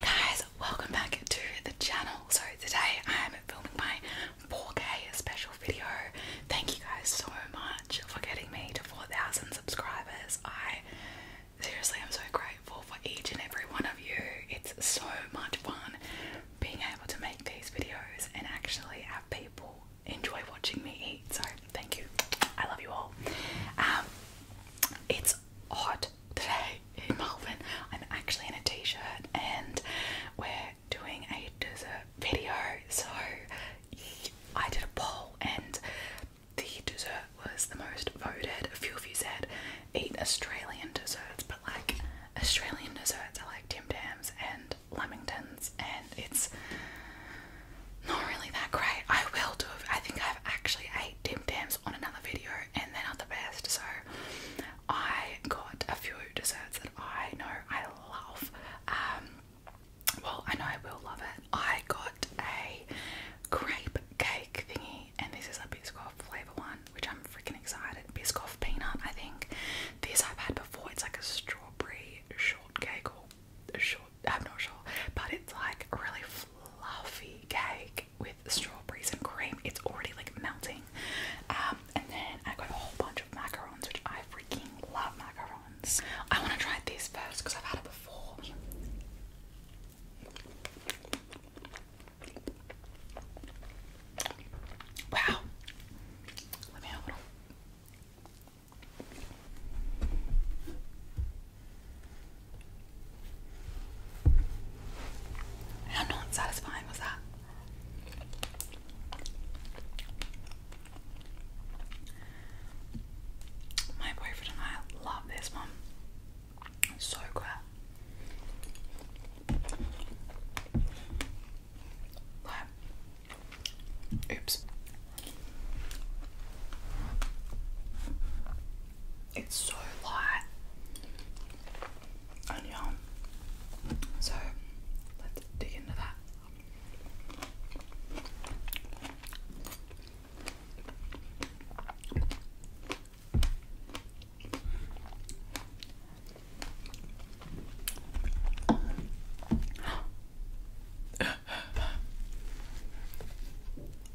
Guys, welcome back to the channel. So today I am filming my 4K special video. Thank you guys so much for getting me to 4,000 subscribers. I seriously am so grateful for each and every one of you. It's so much fun being able to make these videos and actually have people enjoy watching me eat. So thank you. I love you all. Um, it's hot today in Melbourne. I'm actually in a t-shirt and we're doing a dessert video. So I did a poll and the dessert was the most voted. A few of you said eat Australian desserts, but like Australian desserts I like Tim Tams and Lamingtons and it's not really that great. I will do I think I've actually ate Tim dams on another video and they're the best. So I got a few desserts that I know I love. Um, well, I know I will love it. I got a grape cake thingy, and this is a Biscoff flavour one, which I'm freaking excited. Biscoff peanut, I think. This I've had before. It's like a strawberry shortcake or short. I'm not sure, but it's like a really fluffy cake with strawberries and cream. It's already like melting. Um, and then I got a whole bunch of macarons, which I freaking love macarons. I want to try these first because I've had it before. Wow. Let me have a little. How not satisfying was that? My boyfriend and I love this one. so good. oops. It's so light and yum. So let's dig into that.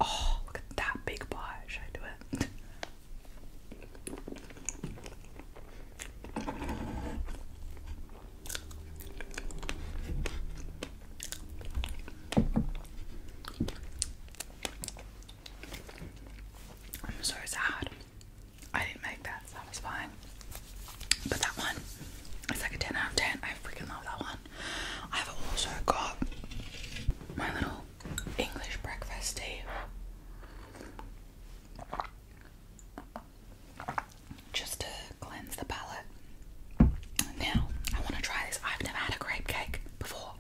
oh, look at that big pie. Should I do it? I'm so sad. I didn't make that satisfying. But that one, it's like a 10 out of 10. I freaking love that one. I've also got my little English breakfast tea. Just to cleanse the palate. Now, I want to try this. I've never had a grape cake before.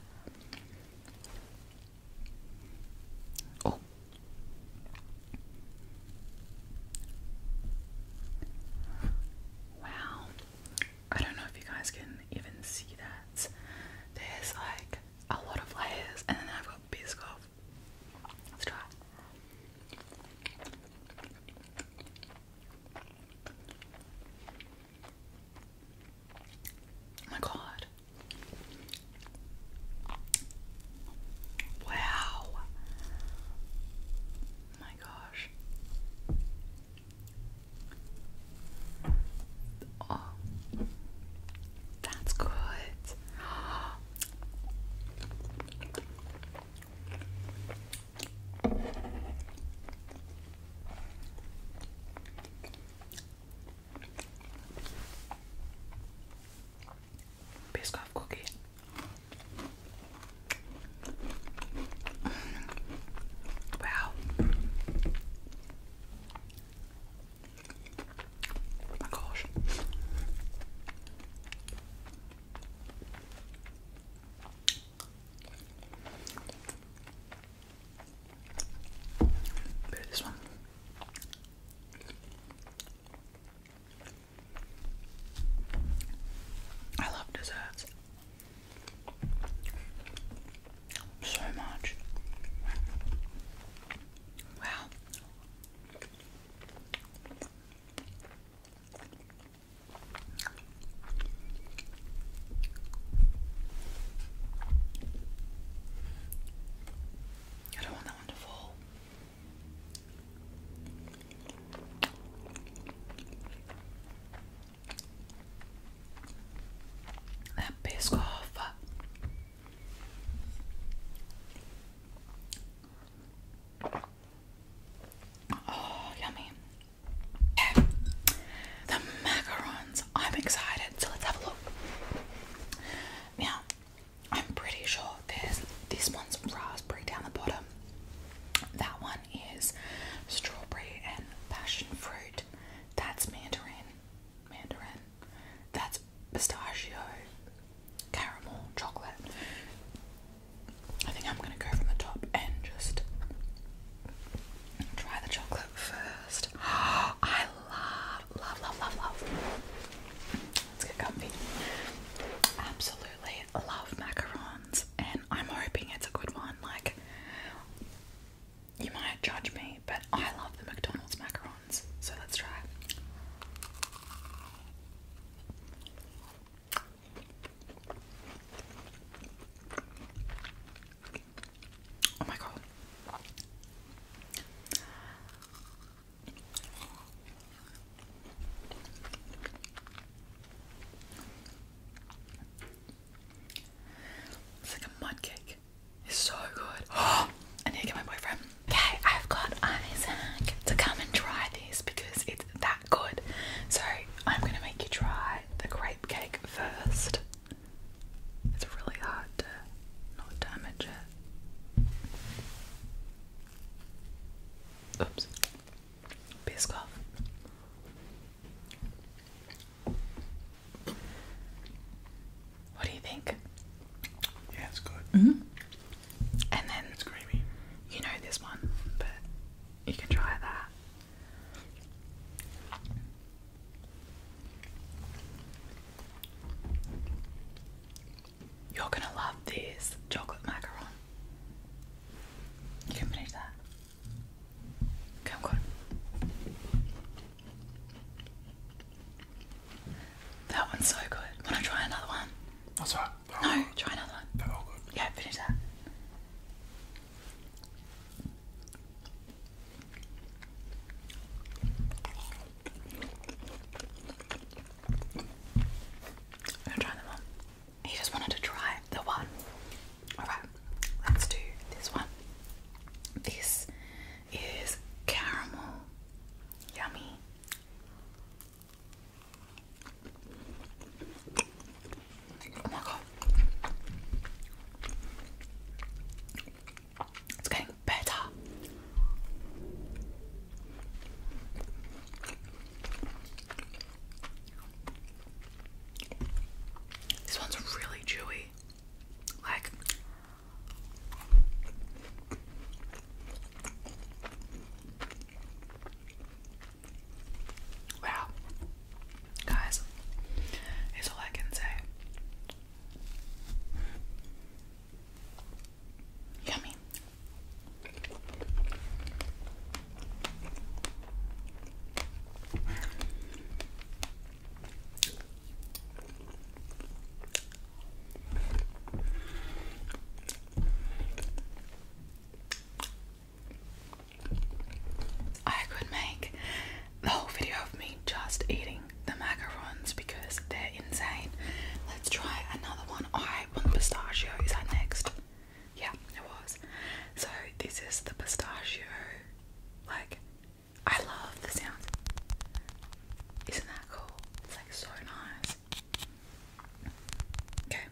Oh. Wow. I don't know if you guys can even see that. There's like a lot of layers, and then I've got Biscoff. Let's try. Oh my god. Wow. My gosh. Oh, that's good. Biscoff cookie. Wow, my gosh. Bit this one. I love desserts so much. Wow. I don't want that one to fall. That piss off. Oh, yummy. The macarons. I'm excited. So let's have a look. Now, I'm pretty sure there's this one's raspberry down the bottom. That one is strawberry and passion fruit. That's mandarin. Mandarin. That's pistachio, caramel, chocolate. I think I'm gonna go from the top and just try the chocolate first. Oh, I love, love, love, love, love. Let's get comfy. Absolutely love macarons, and I'm hoping it's a good one. Like, you might judge me, but I love the McDonald's macarons, so let's try. Oh my god. It's like a mud cake. It's so good. I need to get my boyfriend. Okay, I've got Isaac to come and try this because it's that good. So I'm gonna make you try the grape cake first. It's really hard to not damage it. Oops. Biscoff. What do you think? Yeah, it's good. Mm-hmm. And then it's creamy. You know this one, but you can try that. You're gonna love this chocolate macaron. You can finish that. That one's so good. Wanna try another one? That's right. No, good. try another one. Yeah, finish that. I'm gonna try them on. He just wanted to try the one Alright, let's do this one. This is caramel. Yummy. Oh my god. It's getting better. This one's really chewy. Like Wow. Guys, here's all I can say. Yummy. I could make the whole video of me just eating the macarons because they're insane. Let's try another one. I pistachio. Is next? Yeah, it was. So this is the pistachio. Like, I love the sound. Isn't that cool? It's like so nice. Okay.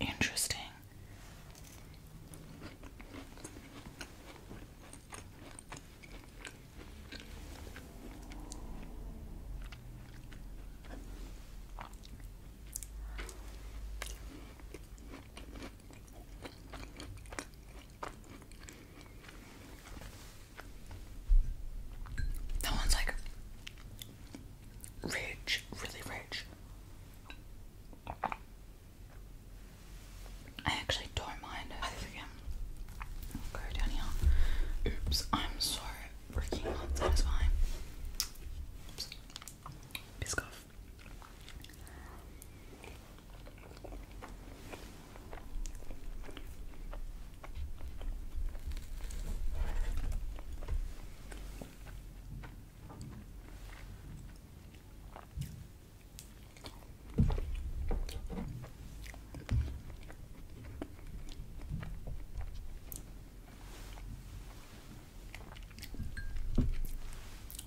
Interesting. That one's like rich, really rich. I actually don't mind go down here. Oops, I'm so freaking unsatisfying. Oops. Biscoff.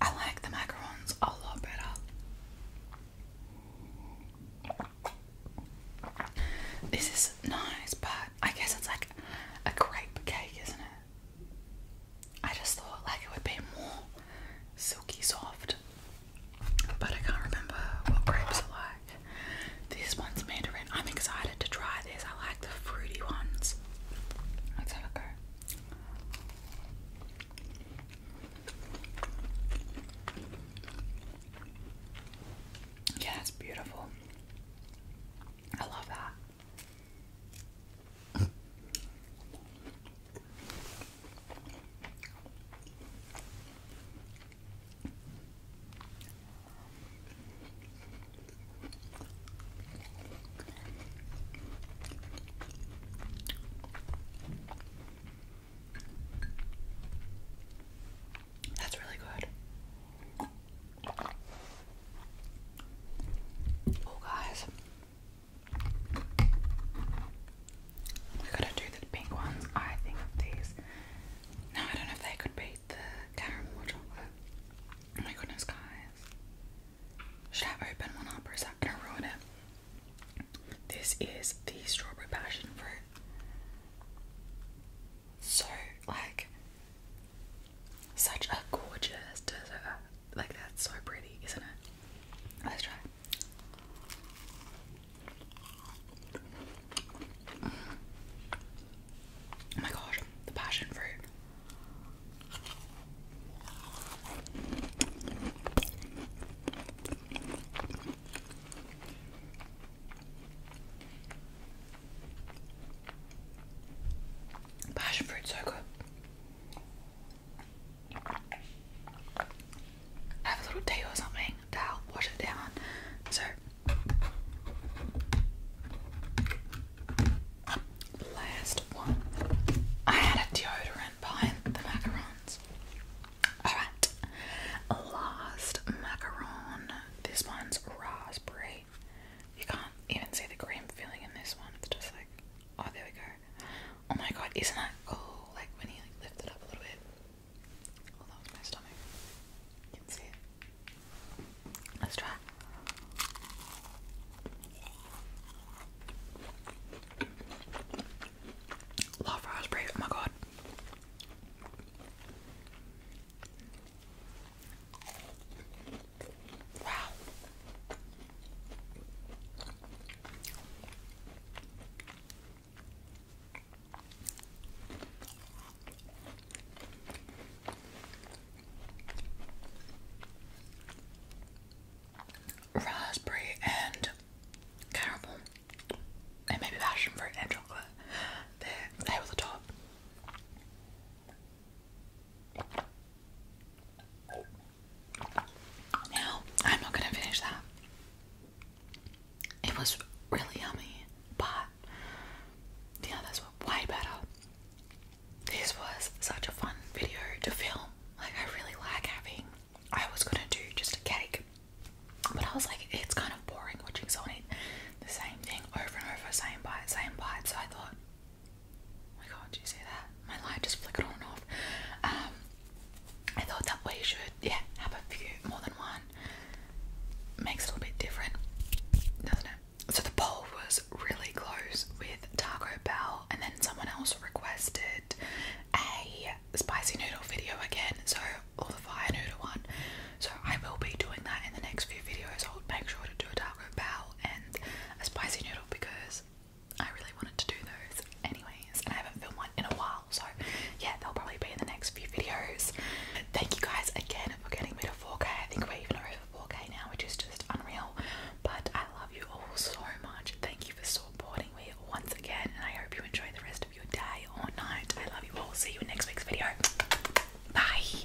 I like the macarons a lot better. This is nice, but I guess it's like a crepe cake, isn't it? I just thought like it would be more silky soft, but I can't remember what grapes are like. This one's mandarin. I'm excited to try this. I like the fruity ones. Let's have a go. Yeah, that's beautiful. I love that. That's really good. Oh, guys, we gotta do the pink ones. I think these. No, I don't know if they could beat the caramel chocolate. Oh my goodness, guys. Should I open one up or is that gonna ruin it? This is the strawberry passion fruit. So, like, such a gorgeous dessert. Like that's so pretty, isn't it? Let's try. Oh my gosh, the passion fruit. Passion fruit, so good. Have a little tea or something to help wash it down. So last one. I had a deodorant behind the macarons. Alright. Last macaron. This one's raspberry. You can't even see the cream filling in this one. It's just like, oh, there we go. Oh my god, isn't that oh, Like when you like lift it up a little bit. Oh, that was my stomach. You can see it. Let's try. Love raspberry. Oh my god. Wow. Raspberry and caramel, and maybe passion fruit and chocolate. They're over the top. Now, I'm not gonna finish that. It was really yummy, but the others were way better. This was such a fun video to film. Like, I really like having. I was gonna do just a cake, but I was like, it's kind of boring watching someone eat the same thing over and over, same bite, same bite. So I thought my god, you say that? My light just flickered on and off. Um, I thought that way you should, yeah, have a few, more than one. Makes it a little bit different, doesn't it? So the poll was really close with Taco Bell, and then someone else requested a spicy noodle video again, so, or the fire noodle one. So I will be doing that in the next few videos. I'll make sure to do a Taco Bell and a spicy noodle because I really wanted to do those anyways and I haven't filmed one in a while so yeah they'll probably be in the next few videos. thank you guys again for getting me to 4k. I think we're even over 4k now which is just unreal but I love you all so much. Thank you for supporting me once again and I hope you enjoy the rest of your day or night. I love you all. See you in next week's video. Bye!